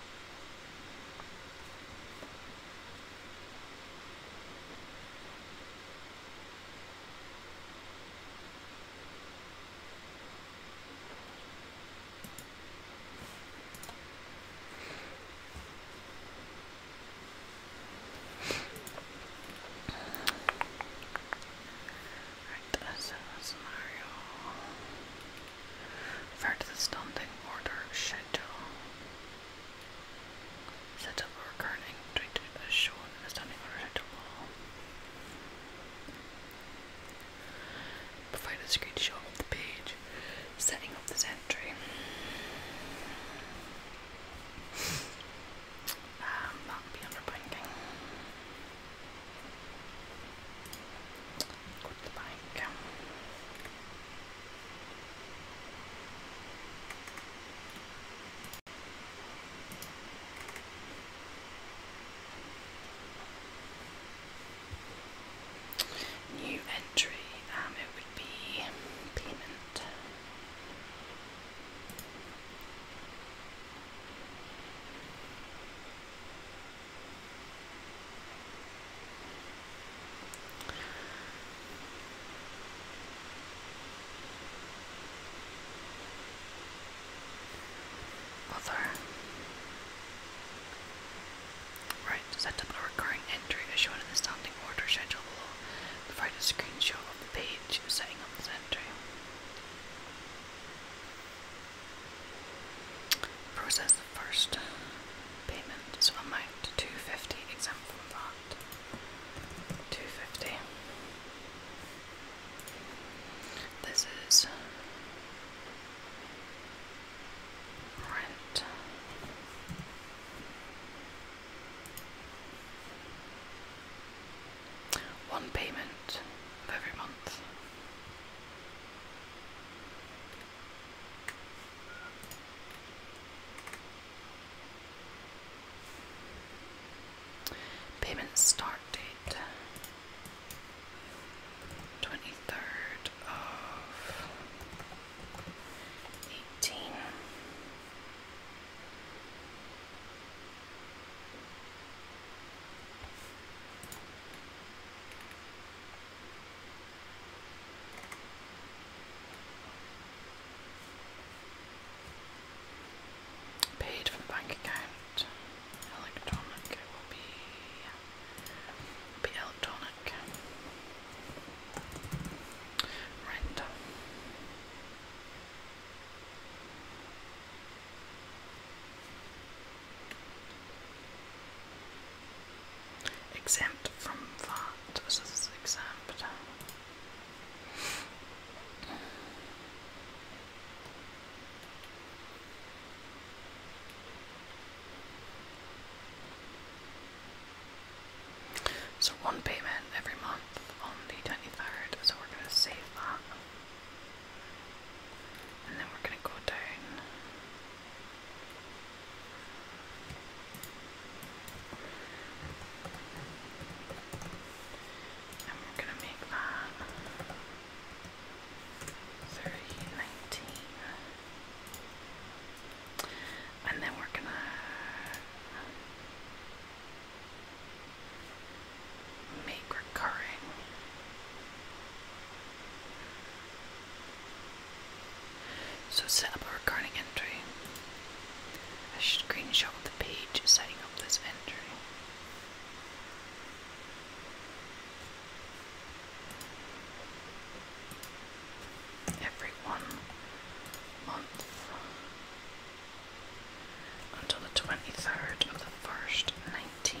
Alright, that's a scenario. Refer to the standing order schedule. Set up recurring treated as standing order schedule. Provide screenshot of the page. Setting up this entry. that'll be under banking go the bank. New entry, um, it would be payment. Other. Right, set up a recurring entry as shown in the standing order schedule below. Provide a screenshot of the page setting up this entry. Process the first payment, so amount 250 exempt from that. 250. This is rent. One payment of every month. Payment start date twenty third of eighteen. Paid from bank account. Electronic will be be electronic. Rent. Exempt from VAT. Was this exempt? So one payment every month on the 23rd, so we're going to save that. And then we're going to go down. And we're going to make that 30, And then we're going to make recurring so set up a recurring entry. A screenshot of the page setting up this entry. Every one month until the 23rd of the first 19.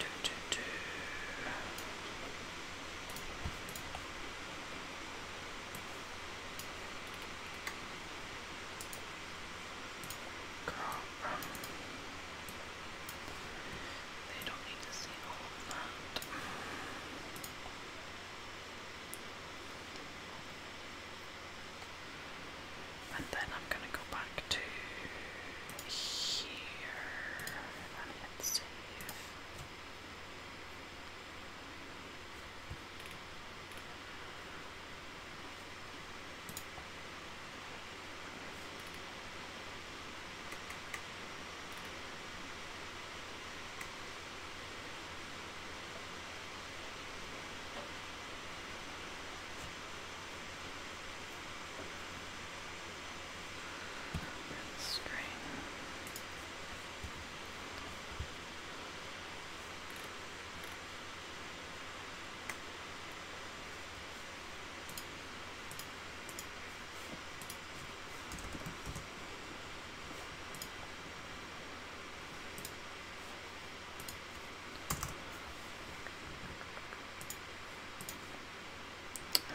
Do, do, do. they don't need to see all that. And then I'm gonna go buy back to here and hit save and string.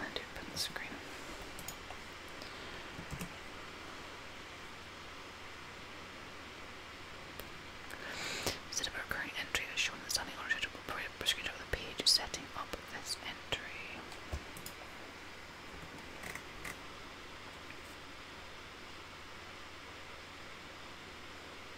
And open screen. a recurring entry as the standing order schedule, we'll proceed over the page setting up this entry.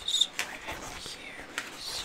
So Somewhere in here is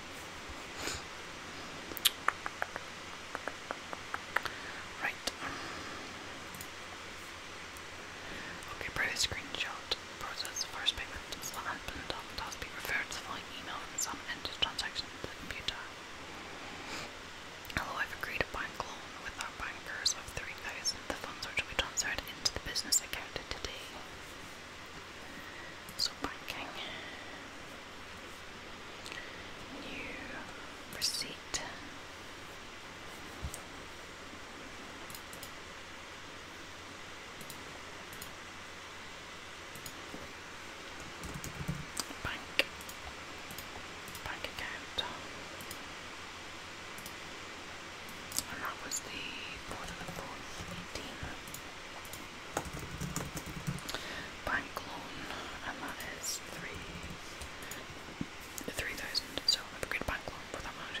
Right. Okay, previous screenshot process first payment is what happened after be referred to the following email from some entered transaction to the computer. Although I've agreed a bank loan with our bankers of 3000 the funds are to transferred into the business account today. So banking. New receipt. Bank. Bank account. And that was the fourth of the fourth, eighteen bank loan, and that is three three thousand. So I bank loan for that much.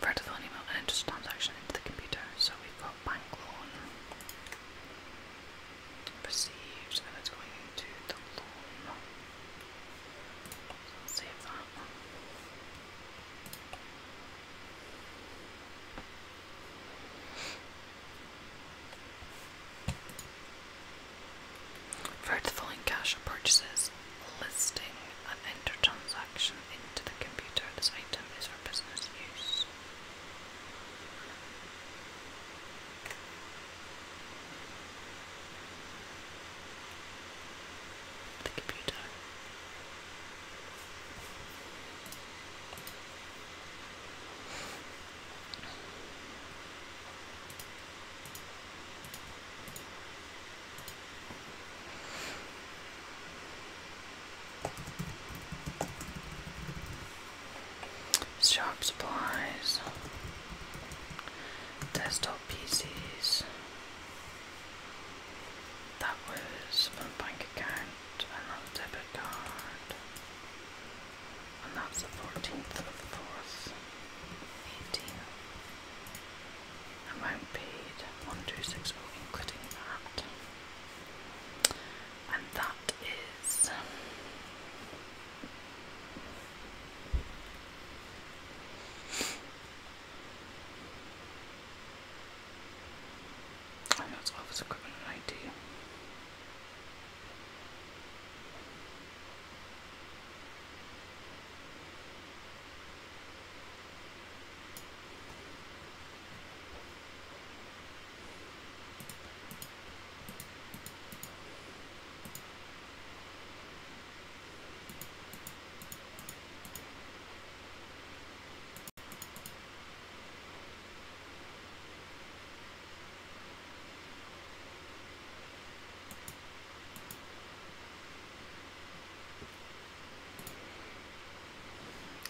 Further phone email and enters transaction into the computer. So we've got bank loan received, and it's going into the loan. save that. For the following cash or purchases, listing and enter transaction into the computer, this item is for business use. The computer. Shop supplies, desktop PCs, that was fun. bank again another debit card. And that's the 14th of the 4th, 18. Amount paid 1260, including that. And that is. And that's office equipment and IT.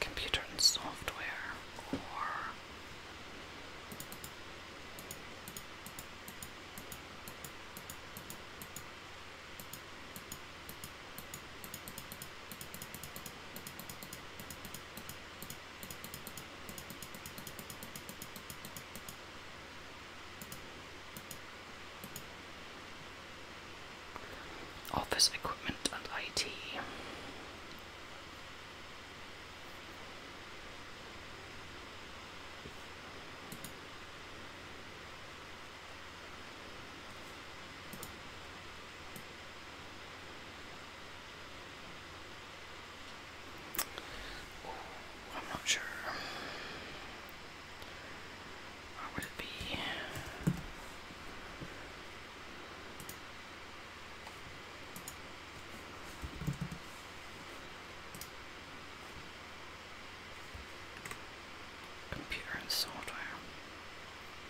Computer and software, or Office equipment and IT. I'm not sure. Where would it be? Computer and software.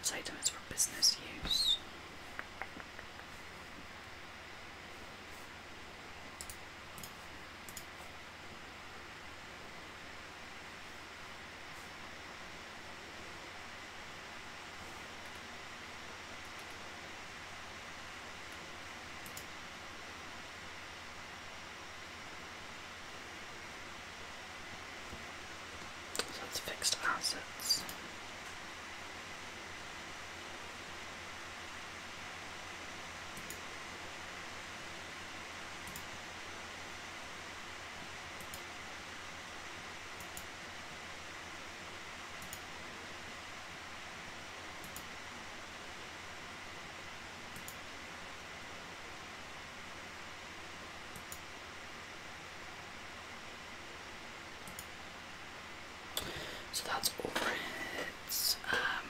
This item is for business use. So that's fixed assets. So that's overheads. Um,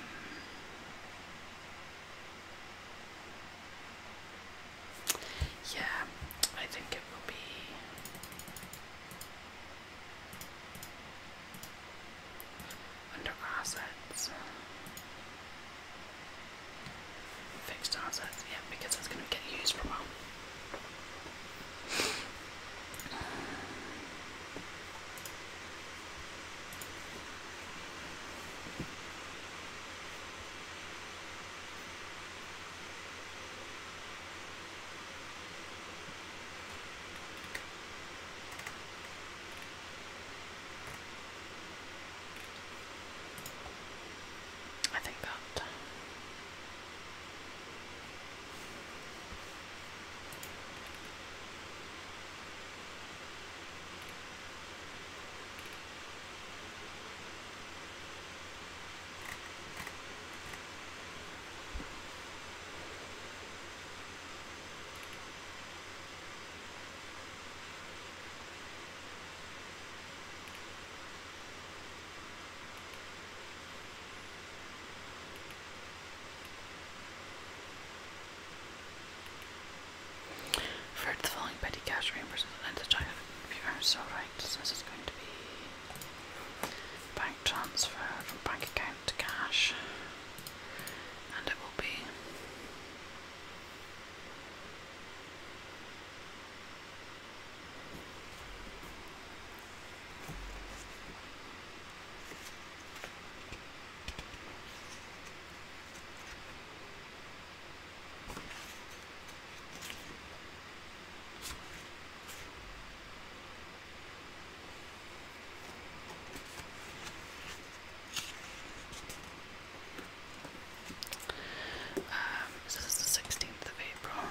yeah, I think it will be. Under assets. Fixed assets, yeah, because it's going to get used for a while. I think that Refer the following petty cash reimbursement and the China you are so right, since it's going to be bank transfer from bank account. To cash, and it will be um, this is the 16th of April.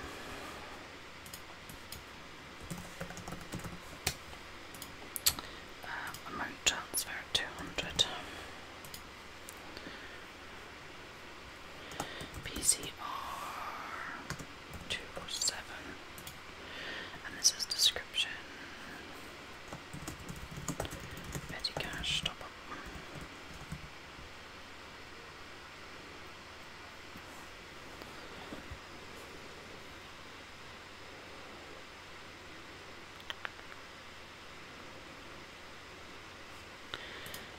Um, amount transfer 200. PCR 207 and this is description. Petty cash, top up.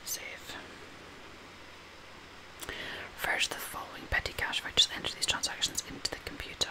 Save. Refresh the following petty cash if I just enter these transactions into the computer.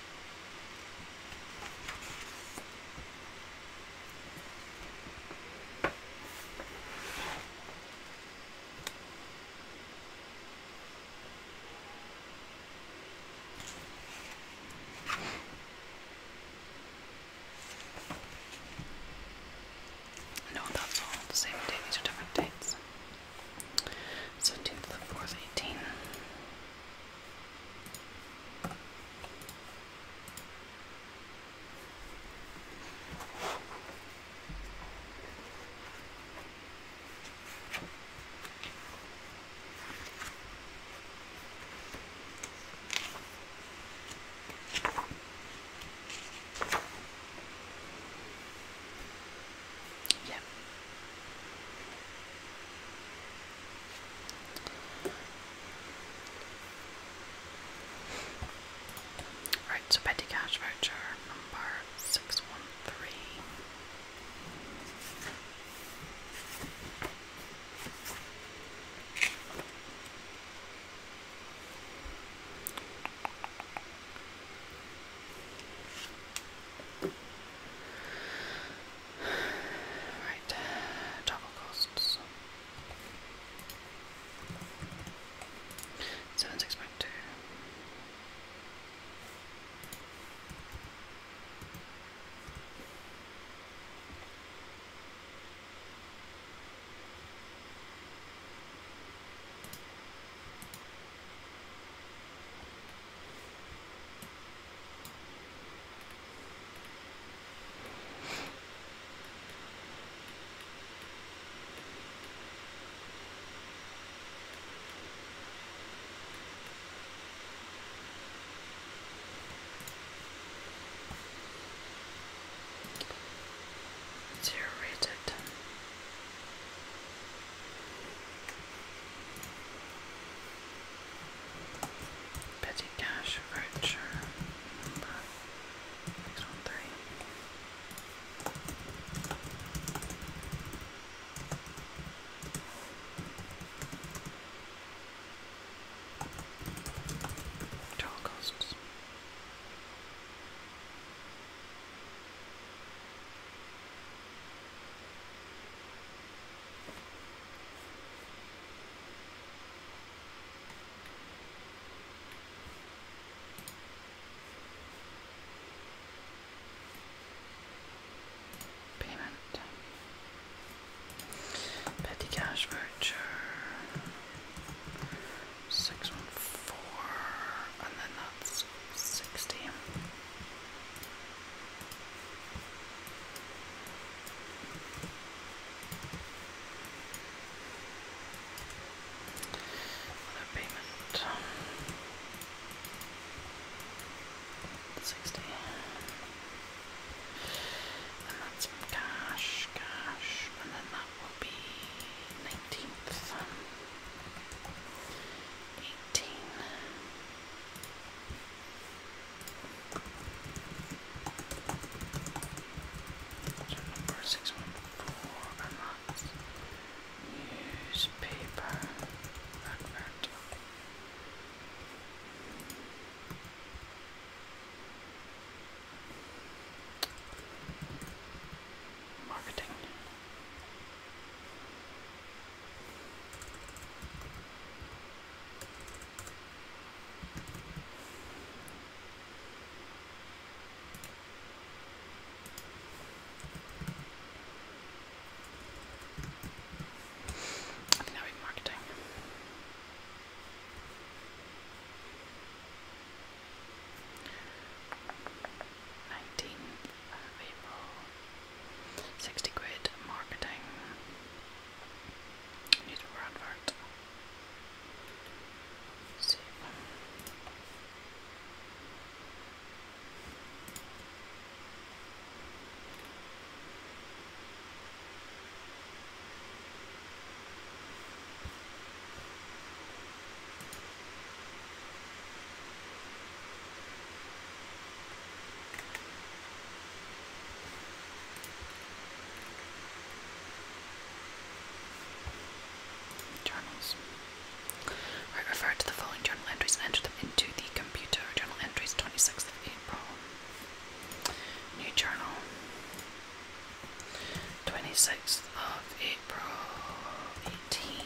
No, that's all same day, these are different dates. So two to the fourth, eighteen. Yeah. Right, so petty cash voucher number six one three. Right, double costs. Seven six point two. Dear rated Petty cash voucher number six one three. Total costs. Payment. Petty cash voucher. Six one four, and then that's sixty. Other payment. Sixty. And that's cash, cash, and then that will be nineteenth eighteen. number six one four a month. Newspaper advert. Marketing. I think that would be marketing. Nineteen April, 60 quid marketing, newspaper advert, save. Journals. refer to the following journal entries and enter them into the computer. Journal entries 26th of April. New journal. 26th of April 18.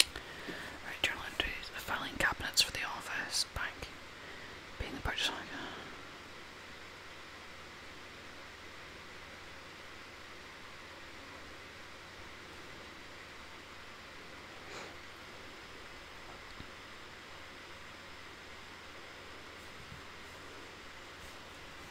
Right, journal entries. Filing cabinets for the office, bank, paying the purchase on.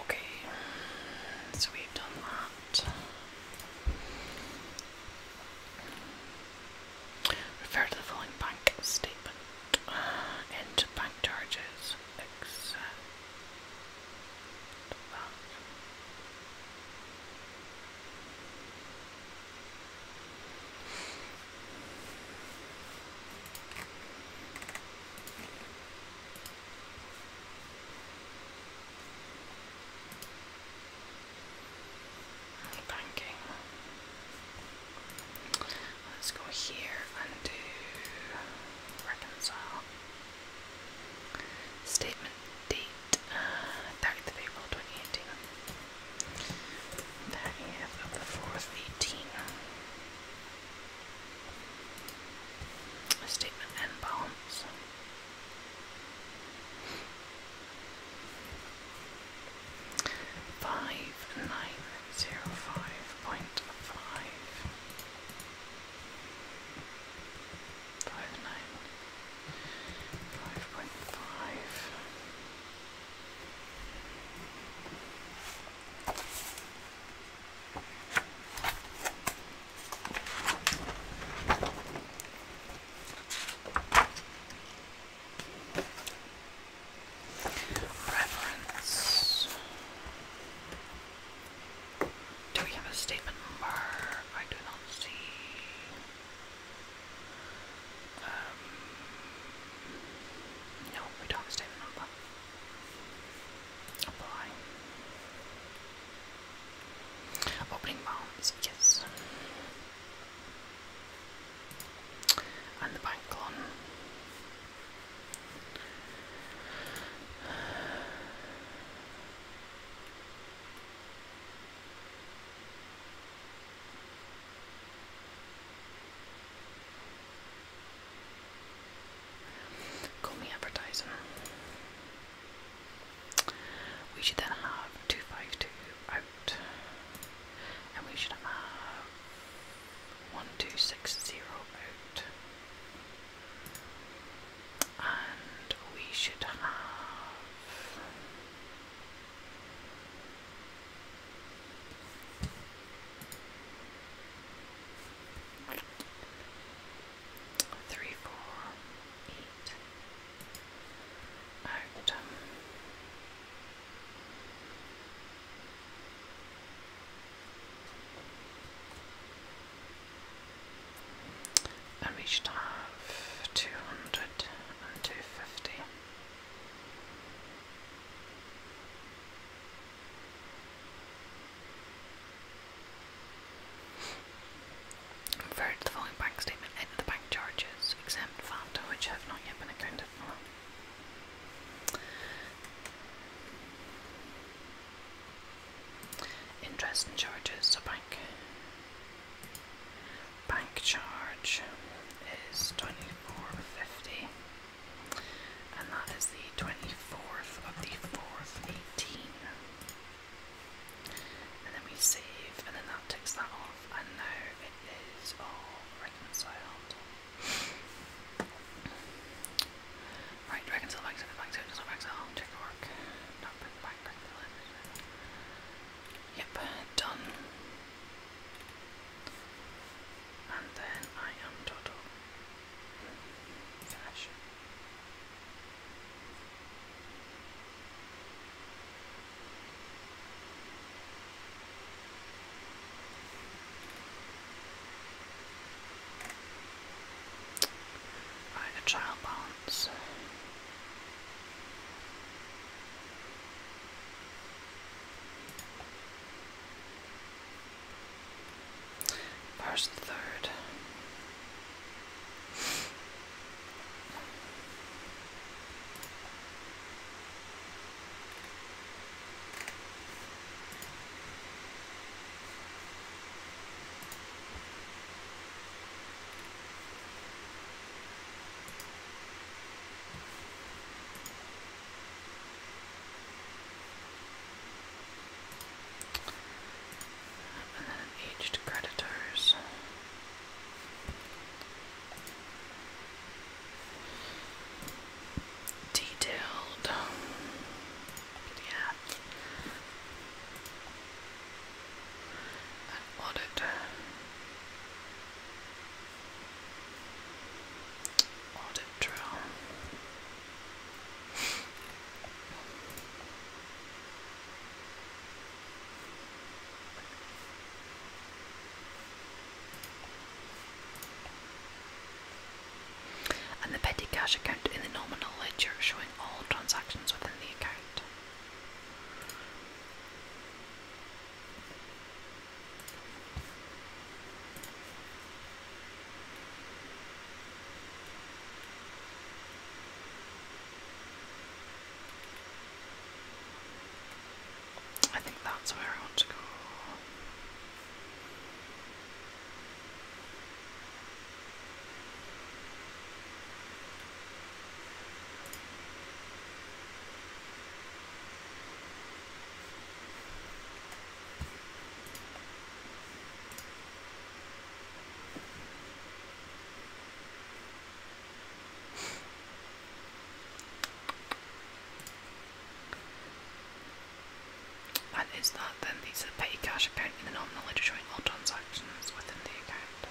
Okay, so we've done that. Refer to the following bank statement uh, and bank charges except Banking. Let's go here and do reconcile. Statement date 30th uh, of April 2018. 30th of the 4th, 18. Statement and balance. Five nine zero five point five five nine five point five Preference. Do we have a statement number? I do not see. Um, no, we don't have a statement number. Apply. Opening bounds, yes. And the bank loan. Call me advertising. We should then have 252 out, and we should have one two six zero out. And we should have three, four, eight um, and we should have two hundred and two fifty. Refer to the following bank statement, edit the bank charges, exempt VAT, which have not yet been accounted for. Interest charges, so bank bank charge is twenty four fifty and that is the twenty fourth of the fourth eighteen. And then we save and then that ticks that off and now it is all reconciled. Right, Dragon Cell back to the back to check work. Yep, done. And then I am total. Finish. Right, a trial balance. First third. And then aged creditors detailed. Yeah. audit. Audit drill and the petty cash account in the nominal ledger showing all transactions within the account. I think that's where I want to go. That is that, then these are petty cash account in the nominal showing all transactions within the account.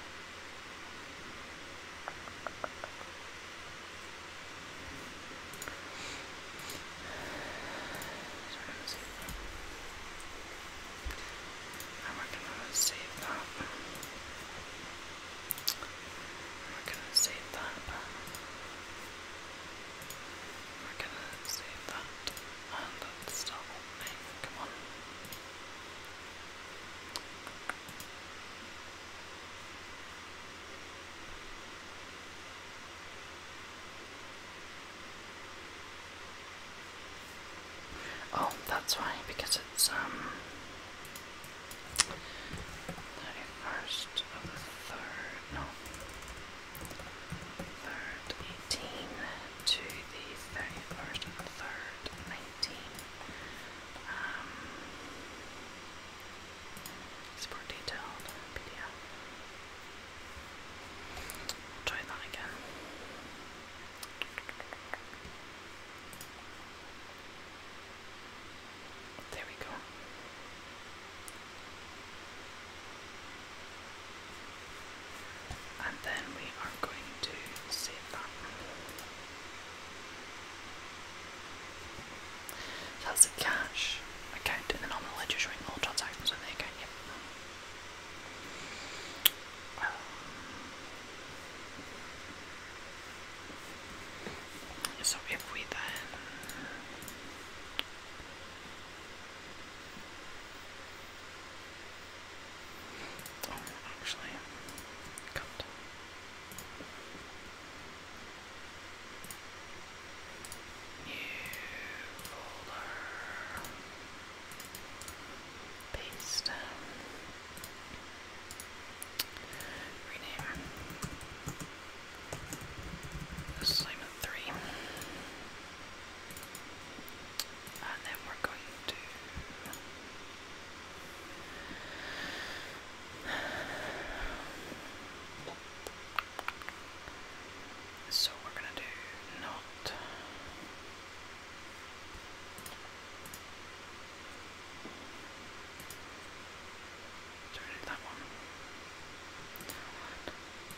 I'm working on save that. We're gonna save that. We're gonna save that. And that's still Come on. Oh, that's why, because it's um Thirty-first of the third, no, third eighteen to the thirty-first of the third nineteen. Um, it's more detailed try that again. There we go. And then we are going to save that. That's a cash account in the normal ledger showing all transactions on the yep. Um, so if we then Oh actually New folder paste rename this assignment three, and then we're going to. So we're going to do not Sorry, that one.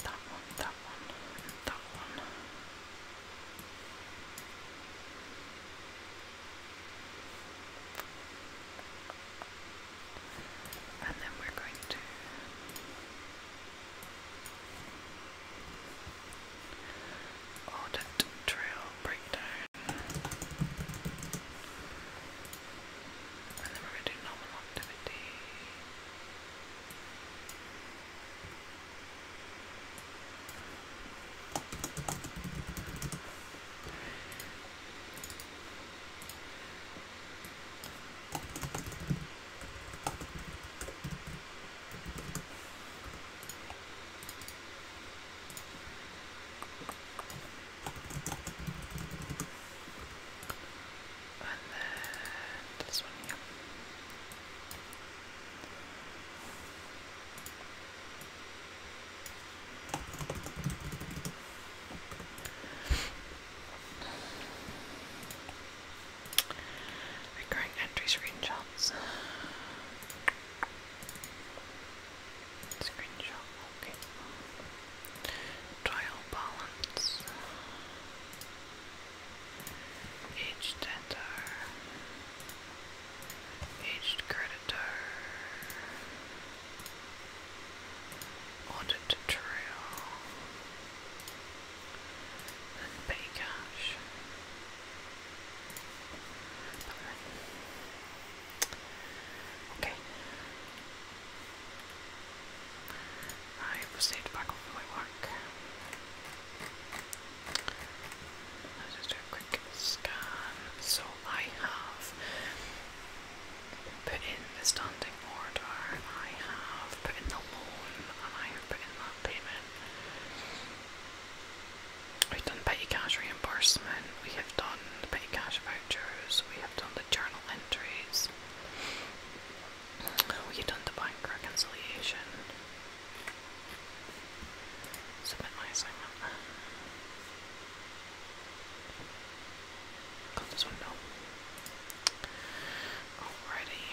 That one, that one, that one. And then we're going to audit trail breakdown. And then we do normal activity. And then this one here. Recurring entry screenshots. Screenshot, okay. Trial balance. Aged debtor. Aged creditor. Audit trail. And pay cash. Okay. I will stay back off my work. Let's do a quick scan. So I have put in the standing order, I have put in the loan, and I have put in that payment. We've done petty cash reimbursement, we have done petty cash vouchers, we have done the journal entries, we've done the bank reconciliation. Submit my assignment. Close this window. Alrighty.